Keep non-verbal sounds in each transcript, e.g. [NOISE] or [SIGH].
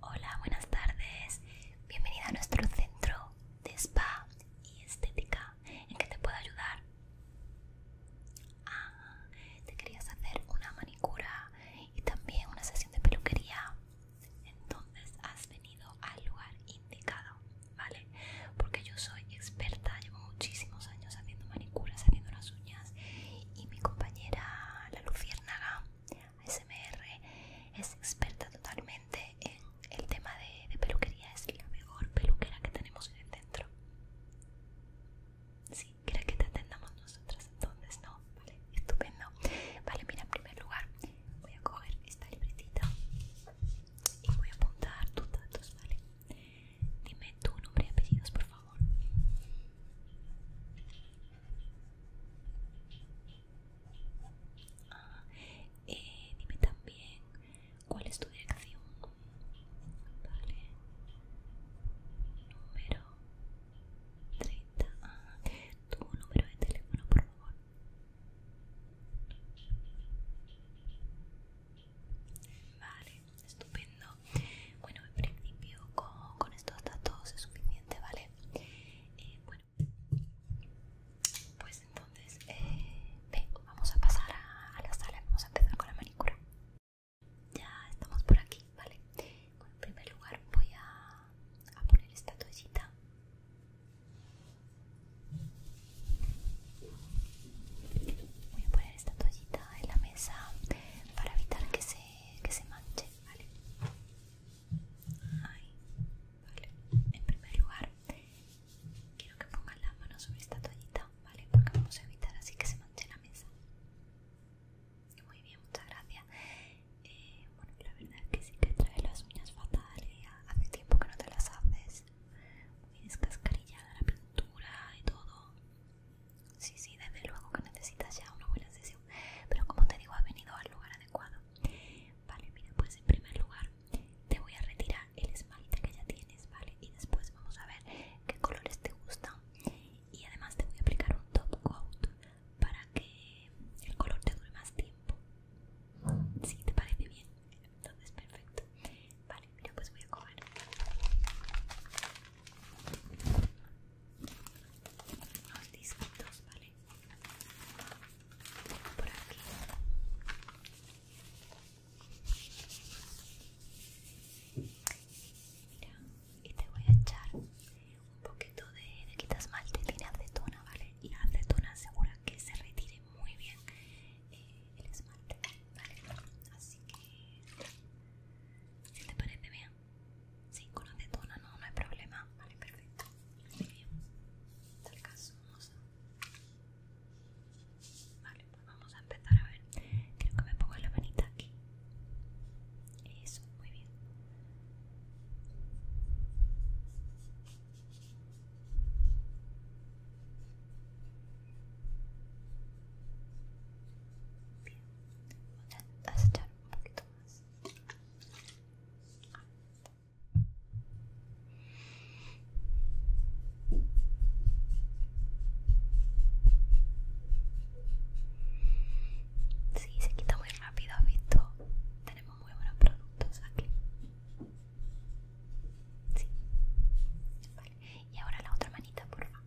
Hola, buenas tardes. Bienvenida a nuestro centro de spa y estética. ¿En que te puedo ayudar? Ah, te querías hacer una manicura y también una sesión de peluquería. Entonces has venido al lugar indicado. ¿vale? Porque yo soy experta, llevo muchísimos años haciendo manicuras, haciendo las uñas y mi compañera La Luciérnaga ASMR es experta totalmente en el tema de, peluquería, es la mejor peluquera que tenemos en el centro. Sí, ¿quieres que te atendamos nosotras entonces? No, vale, estupendo. Vale, mira, en primer lugar voy a coger esta libretita y voy a apuntar tus datos, ¿vale? Dime tu nombre y apellidos, por favor. Ah, eh, dime también cuál es tu dirección. Número 30. Ah, tu número de teléfono, por favor. Vale, estupendo. Bueno, en principio con, estos datos es suficiente, ¿vale? Eh, bueno, pues entonces, eh, vamos a pasar a, la sala, vamos a empezar con la manicura. Ya estamos por aquí, ¿vale? en primer lugar voy a poner esta toallita Voy a poner esta toallita en la mesa para evitar que se, que se manche, ¿vale? Ahí, vale. En primer lugar, quiero que pongan la mano sobre esta toallita, ¿vale? Porque vamos a evitar así que se manche la mesa. Muy bien, muchas gracias. Eh, bueno, la verdad es que sí que trae las uñas fatal hace tiempo que no te las haces Tienes pues, muy descascarillada la pintura y todo. Sí, sí, desde luego que necesitas ya una buena sesión. Pero como te digo, ha venido al lugar adecuado. Vale, mira, pues en primer lugar te voy a retirar el esmalte que ya tienes, ¿vale? Y después vamos a ver qué colores te gustan. Y además te voy a aplicar un top coat para que el color te dure más tiempo. Si te parece bien, entonces perfecto. Vale, mira, pues voy a coger Unos disquitos, ¿vale? Por aquí. Mira, y te voy a echar un poquito de, de quitasmalte, de acetona, ¿vale? Y la acetona asegura que se retire muy bien eh, el esmalte, ¿vale? Así que, si te parece bien, sí, con la acetona no, no hay problema, ¿vale? Perfecto, muy bien, tal caso vamos a... Vale, pues vamos a empezar a ver, creo que me pongo la manita aquí, eso, muy bien. Bien, Sí, se quita muy rápido, visto. Tenemos muy buenos productos aquí. Y ahora la otra manita, por la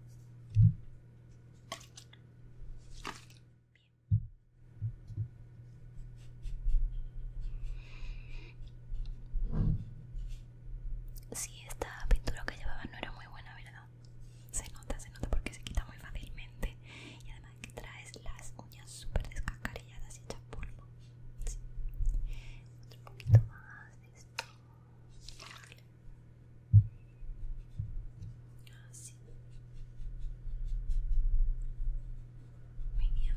Si esta pintura que llevaba no era muy buena, ¿verdad? Se nota, se nota porque se quita muy fácilmente. Y además que traes las uñas súper descascarilladas y hechas polvo. Otro poquito más esto. Así. Muy bien.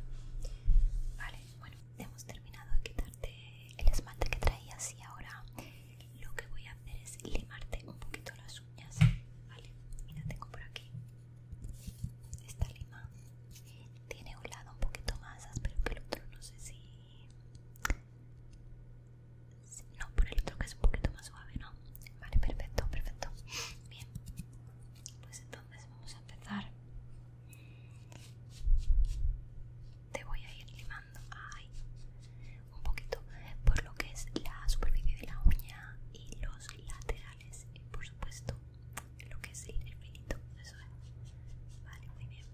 Vale, bueno, hemos terminado de quitarte el esmalte que traías y ahora lo que voy a hacer es limarte un poquito las uñas. Vale, mira, tengo por aquí esta lima tiene un lado un poquito más áspero que el otro no sé si no por el otro que es un poquito más suave no vale perfecto perfecto bien pues entonces vamos a empezar te voy a ir limando ay, un poquito por lo que es la superficie de la uña y los laterales y por supuesto lo que es el finito eso es. Vale, muy bien.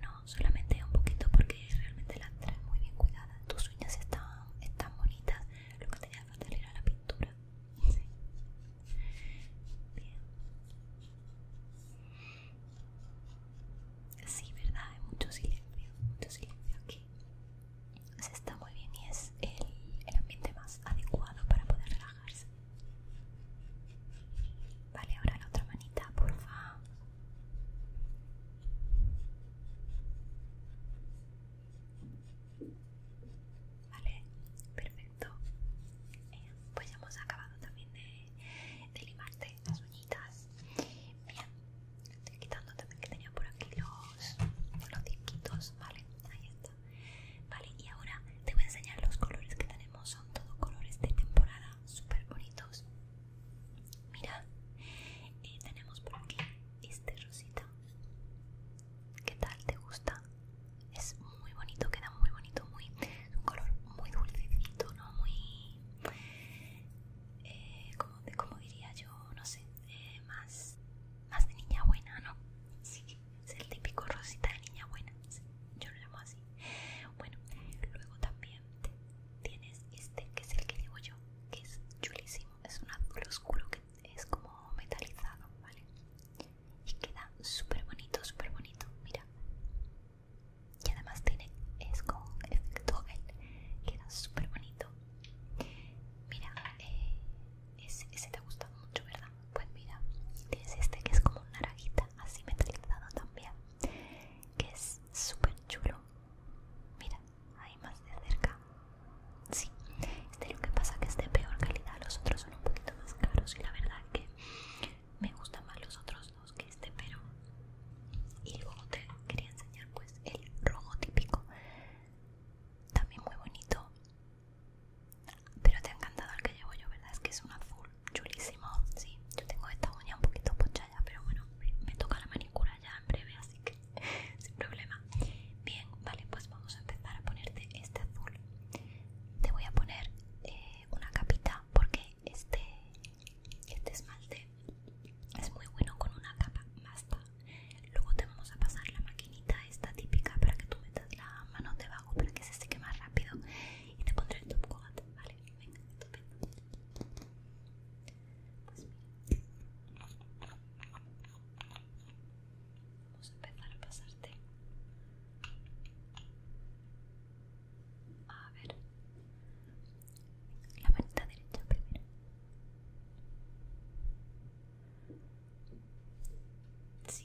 No, solamente un poquito porque realmente las traes muy bien cuidadas. Tus uñas están, bonitas. Lo que tenía que hacer era la pintura. Sí. Bien. Sí, verdad, hay mucho silencio, mucho silencio aquí. Se está muy bien y es el, ambiente más adecuado para poder relajarse. Vale, ahora la otra manita, porfa. Vale, perfecto. Eh, pues ya hemos acabado también de, limarte las uñitas. Bien, estoy quitando también que tenía por aquí los, los disquitos, ¿vale? Ahí está. Vale, y ahora te voy a enseñar los colores que tenemos Son todos colores de temporada, súper bonitos Mira, eh, tenemos por aquí este rosita ¿Qué tal? ¿Te gusta? Es muy bonito, queda muy bonito, muy, un color muy dulcecito, ¿no? Muy... Eh, como, diría yo, no sé, eh, más, más de niña buena, ¿no? Sí. Es el típico rosita de niña buena. yo lo llamo así. Bueno, luego también tienes este que es el que llevo yo, que es chulísimo. Es un azul oscuro que es como metalizado, ¿vale? Y queda súper bonito, súper bonito. Mira. Y además tiene, es con efecto gel. Queda súper bonito. Mira, eh, ese, te ha gustado mucho, ¿verdad? Pues mira, tienes este que es como una naranjita, así metalizado también, que es súper chulo. Mira, hay más de cerca. Sí, este lo que pasa que es de peor calidad, los otros son un poquito más caros y la verdad que me gustan más los otros dos que este, pero... Y luego te quería enseñar pues el rojo típico, también muy bonito pero te ha encantado el que llevo yo, ¿verdad? Es que es un azul chulísimo. Sí, yo tengo esta uña un poquito pochada, pero bueno, me, toca la manicura ya en breve, así que [LAUGHS] sin problema. Bien, vale, pues vamos a empezar a ponerte este azul. Te voy a poner eh, una capita porque este, este esmalte es muy bueno con una capa. basta Luego te vamos a pasar la maquinita esta típica para que tú metas la mano debajo para que se seque más rápido y te pondré el top coat, ¿vale? Venga, pues Vamos a empezar a pasarte. A ver. La manita derecha primero. Sí.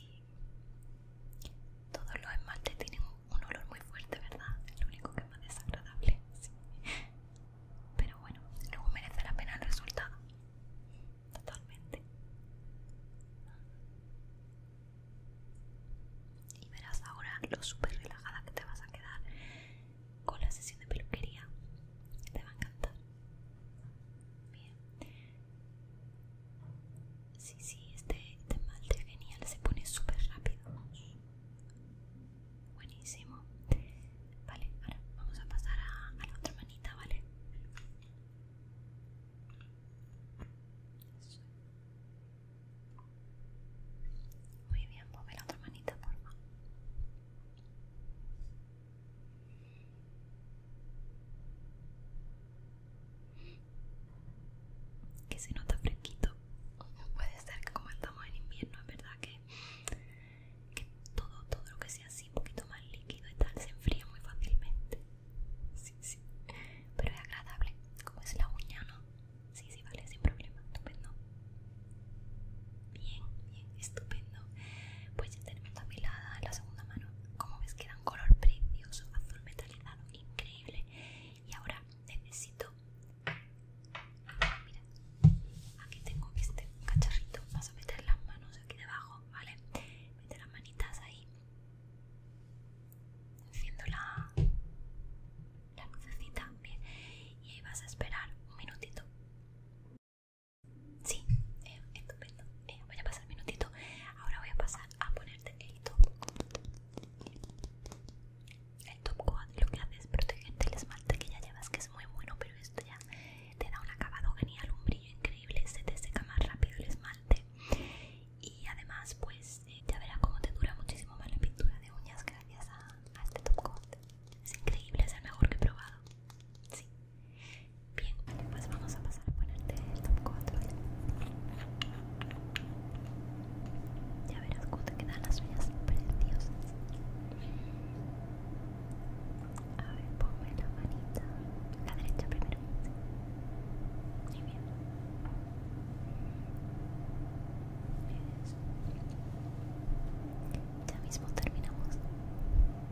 Todos los esmaltes tienen un olor muy fuerte, ¿verdad? Es lo único que es más desagradable. Pero bueno, luego merece la pena el resultado. Totalmente. Y verás ahora lo súper relajada que te vas a quedar con la sesión de peluquería. Te va a encantar. Bien. Sí, sí, este, este genial, se pone súper rápido. Buenísimo. Vale, ahora vamos a pasar a, la otra manita, ¿vale? Muy bien, ponme la otra manita, por favor que se nota fresquito puede ser que como estamos en invierno es verdad que, todo todo lo que sea así un poquito más líquido y tal se enfría muy fácilmente sí sí pero es agradable como es la uña no sí sí vale sin problema estupendo bien bien estupendo. Pues ya tenemos en la segunda mano. Como ves queda un color precioso, azul metalizado, increíble. Y ahora necesito... Mira, aquí tengo este cacharrito. Vas a meter las manos aquí debajo, ¿vale? Mete las manitas ahí. Enciendo la, la lucecita bien. Y ahí vas a esperar un minutito. Sí, eh, estupendo. Eh, voy a pasar un minutito. Ahora voy a pasar a ponerte el top. El top coat lo que hace es protegerte el esmalte que ya llevas, que es muy bueno, pero esto ya te da un acabado genial, un brillo increíble, se te seca más rápido el esmalte. Y además, pues eh, ya verás cómo te dura muchísimo más la pintura de uñas gracias a este top coat. Es increíble, es el mejor que he probado. Sí. Bien, pues vamos a pasar a ponerte el top 4 Ya verás cómo te quedan las uñas preciosas. A ver, ponme la manita. La derecha primero. Muy bien. Eso. Ya mismo terminamos.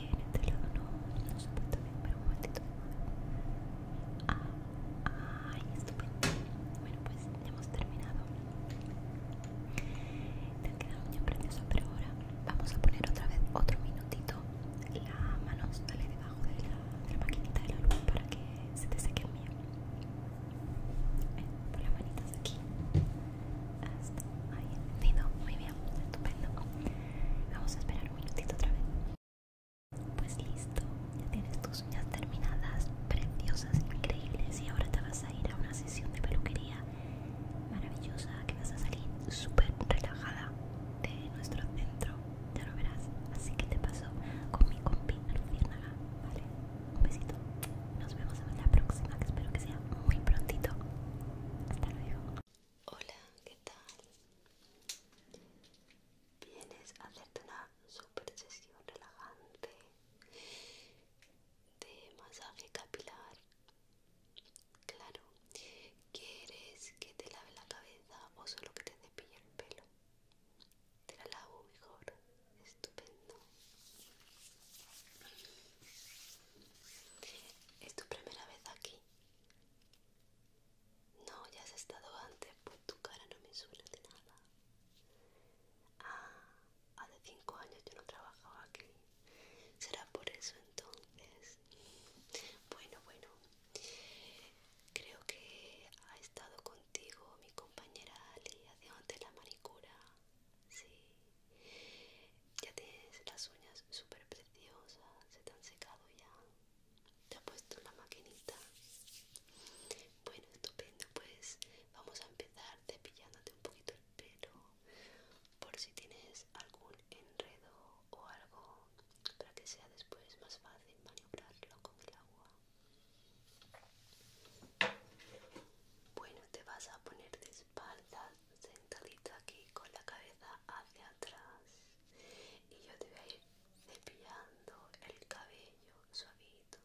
en este lado no, no se puede pero un momentito. ay, estupendo. Bueno, pues ya hemos terminado. Te han quedado muy precioso, pero ahora vamos a poner otra vez otro minutito la mano dale debajo de la, maquinita de la luz para que se te seque el mío. por las manitas aquí. Hasta ahí, entendido. Muy bien, estupendo. Vamos a esperar un minutito otra vez. Pues listo, ya tienes tus uñas terminadas, preciosas, increíbles y ahora te vas a ir a una sesión de peluquería maravillosa que vas a salir súper relajada de nuestro centro, ya lo verás. Así que te paso con mi compi Luciérnaga, ¿vale? Un besito, nos vemos en la próxima que espero que sea muy prontito. Hasta luego. Hola, ¿qué tal? Vienes a hacerte una super sesión relajante de masaje capilar. Claro, ¿quieres que te lave la cabeza o solo que te cepille el pelo? Te la lavo mejor, estupendo. ¿Es tu primera vez aquí? No, ya has estado antes, pues tu cara no me suena de nada. Ah, hace cinco años yo no trabajaba aquí. ¿Será por eso entonces? Bueno, bueno. Creo que ha estado contigo mi compañera Ali antes la manicura. Sí. Ya tienes las uñas súper preciosas. Se te han secado ya. ¿Te ha puesto la maquinita? Bueno, estupendo, pues vamos a empezar cepillándote un poquito el pelo por si tienes algún enredo o algo para que sea después más fácil maniobrarlo con el agua. Bueno, te vas a poner de espaldas, sentadita aquí con la cabeza hacia atrás y yo te voy a ir cepillando el cabello suavito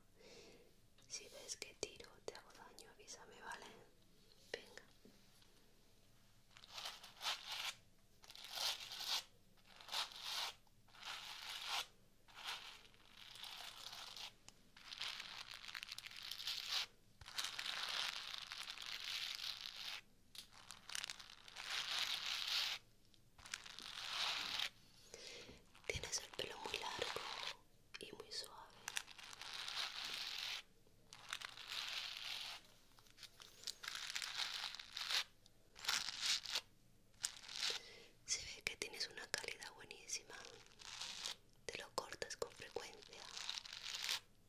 si ves que tiro te hago daño me vale venga Tienes el pelo muy largo y muy suave. Se ve que tienes una calidad buenísima. Te lo cortas con frecuencia.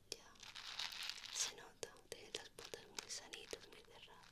Ya se nota, tiene las patas muy sanitas, muy cerradas.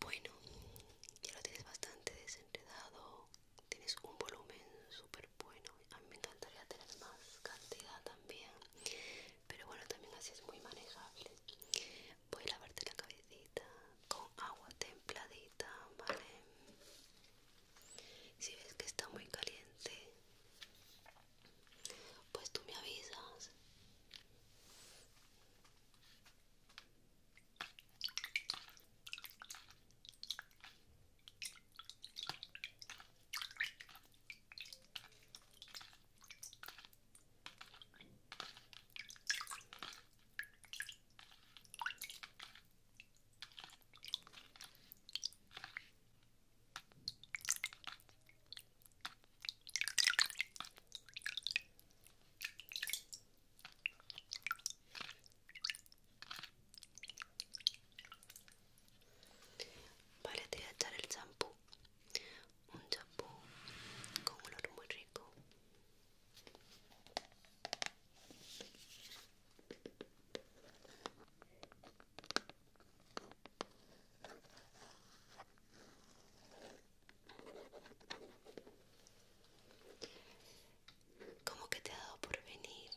Bueno, ya lo tienes bastante desenredado, tienes un volumen súper bueno, a mí me encantaría tener más cantidad también, pero bueno, también así es muy manejable. Voy a lavarte la cabecita con agua templadita, ¿vale? Si ves que está muy caliente, pues tú me avisas. Vale, te voy a echar el champú. Un champú con olor muy rico. Como que te ha dado por venir,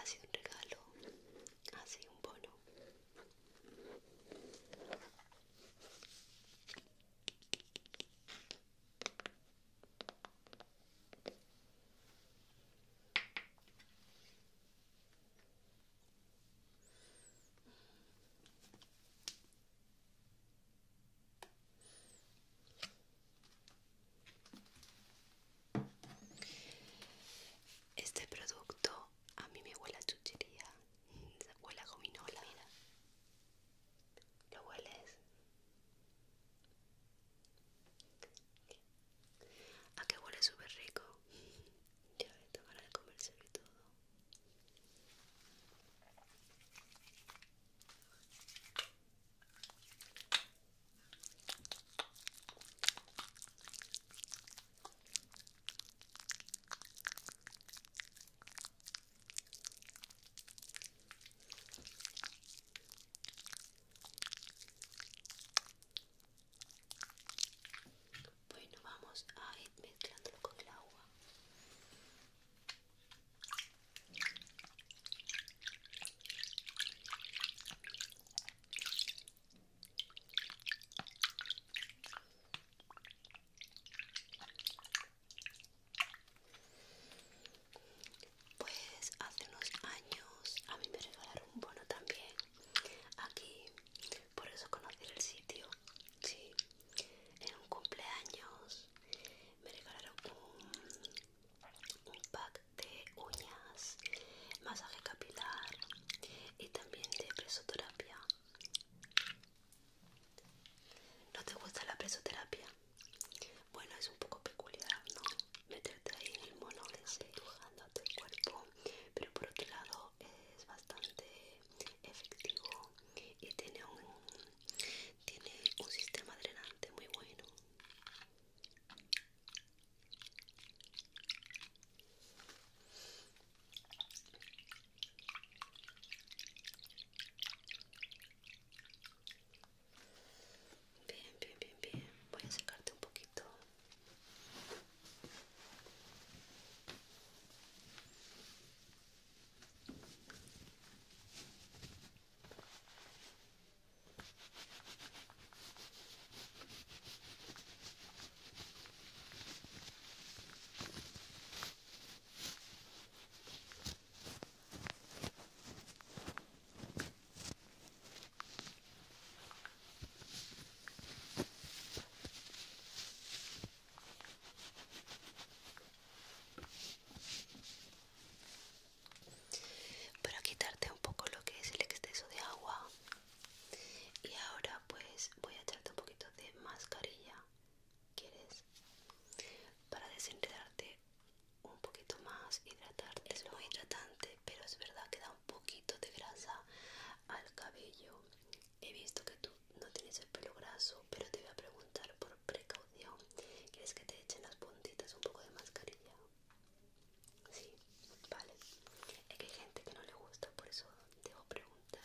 ha sido un regalo, ha sido un bono. Este producto a mí me huele a chuchería, mm, huele a gominola. Mira. ¿Lo hueles? A que huele súper rico. [LAUGHS] Ya me a tomar de y todo. Bueno, vamos a ir mezclándolo con el agua. Pues hace unos años a mí me regalaron un bono también aquí, por eso conocí el sitio. en un cumpleaños me regalaron un, un pack de uñas, masaje capilar y también de presoterapia. ¿No te gusta la presoterapia? Bueno, es un poco peculiar, ¿no? Meterte ahí en el mono dibujándote el cuerpo, pero por otro lado es bastante efectivo y tiene un, tiene un sistema drenante muy bueno. Bien, bien, bien, bien. Voy a secarte un poquito para quitarte un poco lo que es el exceso de agua y ahora pues voy a echarte un poquito de mascarilla quieres para desenredarte un poquito más hidratante Es muy hidratante, pero es verdad que da un poquito de grasa al cabello. He visto que tú no tienes el pelo graso, pero te voy a preguntar por precaución. ¿Quieres que te echen las puntitas un poco de mascarilla? Sí, vale. Es que hay gente que no le gusta, por eso debo preguntar.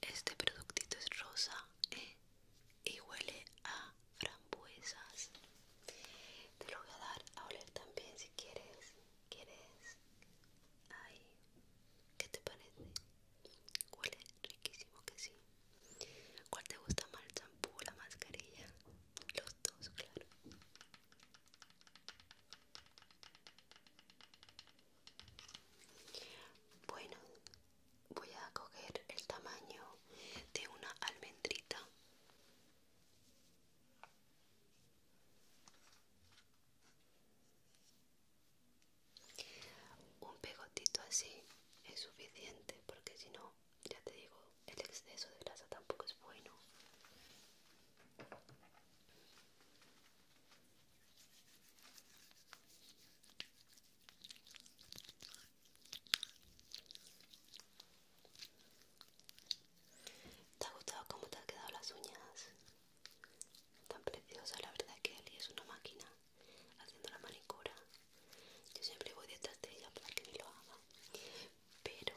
Este productito es rosa eh, y huele a frambuesas te lo voy a dar a oler también si quieres quieres ay qué te parece huele riquísimo que sí cuál te gusta más el champú o la mascarilla los dos claro bueno voy a coger el tamaño de una almendrita un pegotito así es suficiente porque si no, ya te digo, el exceso de grasa tampoco es bueno. ¿Te ha gustado cómo te han quedado las uñas? Tan preciosas, la verdad es que Eli es una máquina haciendo la manicura. Yo siempre voy detrás de ella para que me lo haga, pero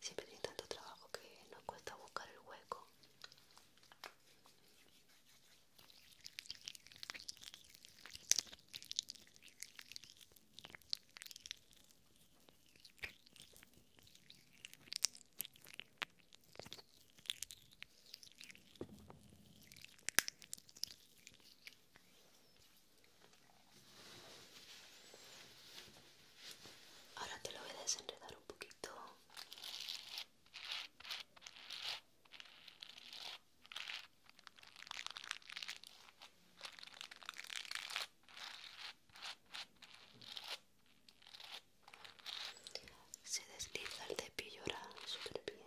siempre tiene tanto trabajo que nos cuesta buscar el hueco. Ahora te lo voy a desenredar un poquito. Se desliza el cepillo súper bien.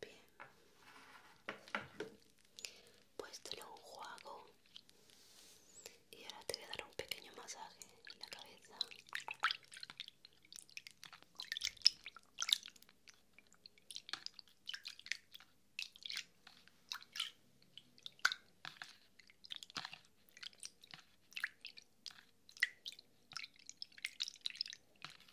Bien. Pues te lo Y ahora te voy a dar un pequeño masaje en la cabeza.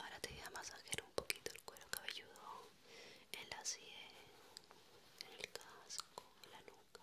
Ahora te voy a masajear un poquito el cuero cabelludo en la sien, en el casco, en la nuca.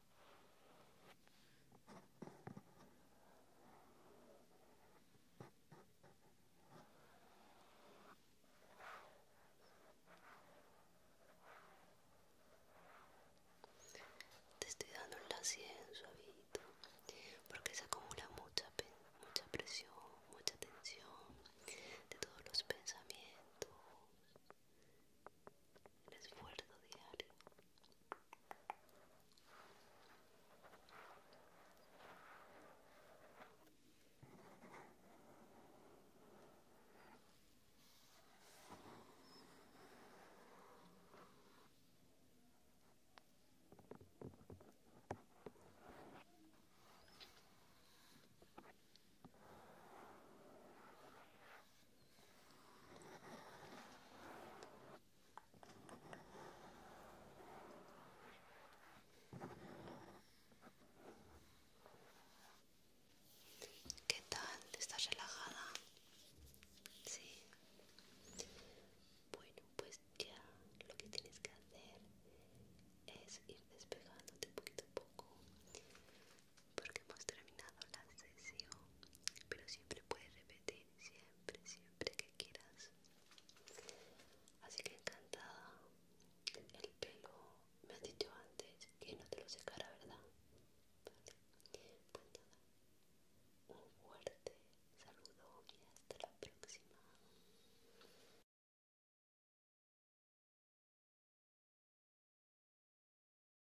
Te estoy dando el asiento, suavito porque se acumula mucha, mucha presión, mucha tensión de todos los pensamientos el esfuerzo diario. ¿Qué tal? ¿Estás relajada? Sí. Bueno, pues ya lo que tienes que hacer es ir despegándote poquito a poco porque hemos terminado la sesión pero siempre puedes repetir siempre siempre que quieras así que encantada el pelo me has dicho antes que no te lo secara verdad pues un fuerte saludo y hasta la próxima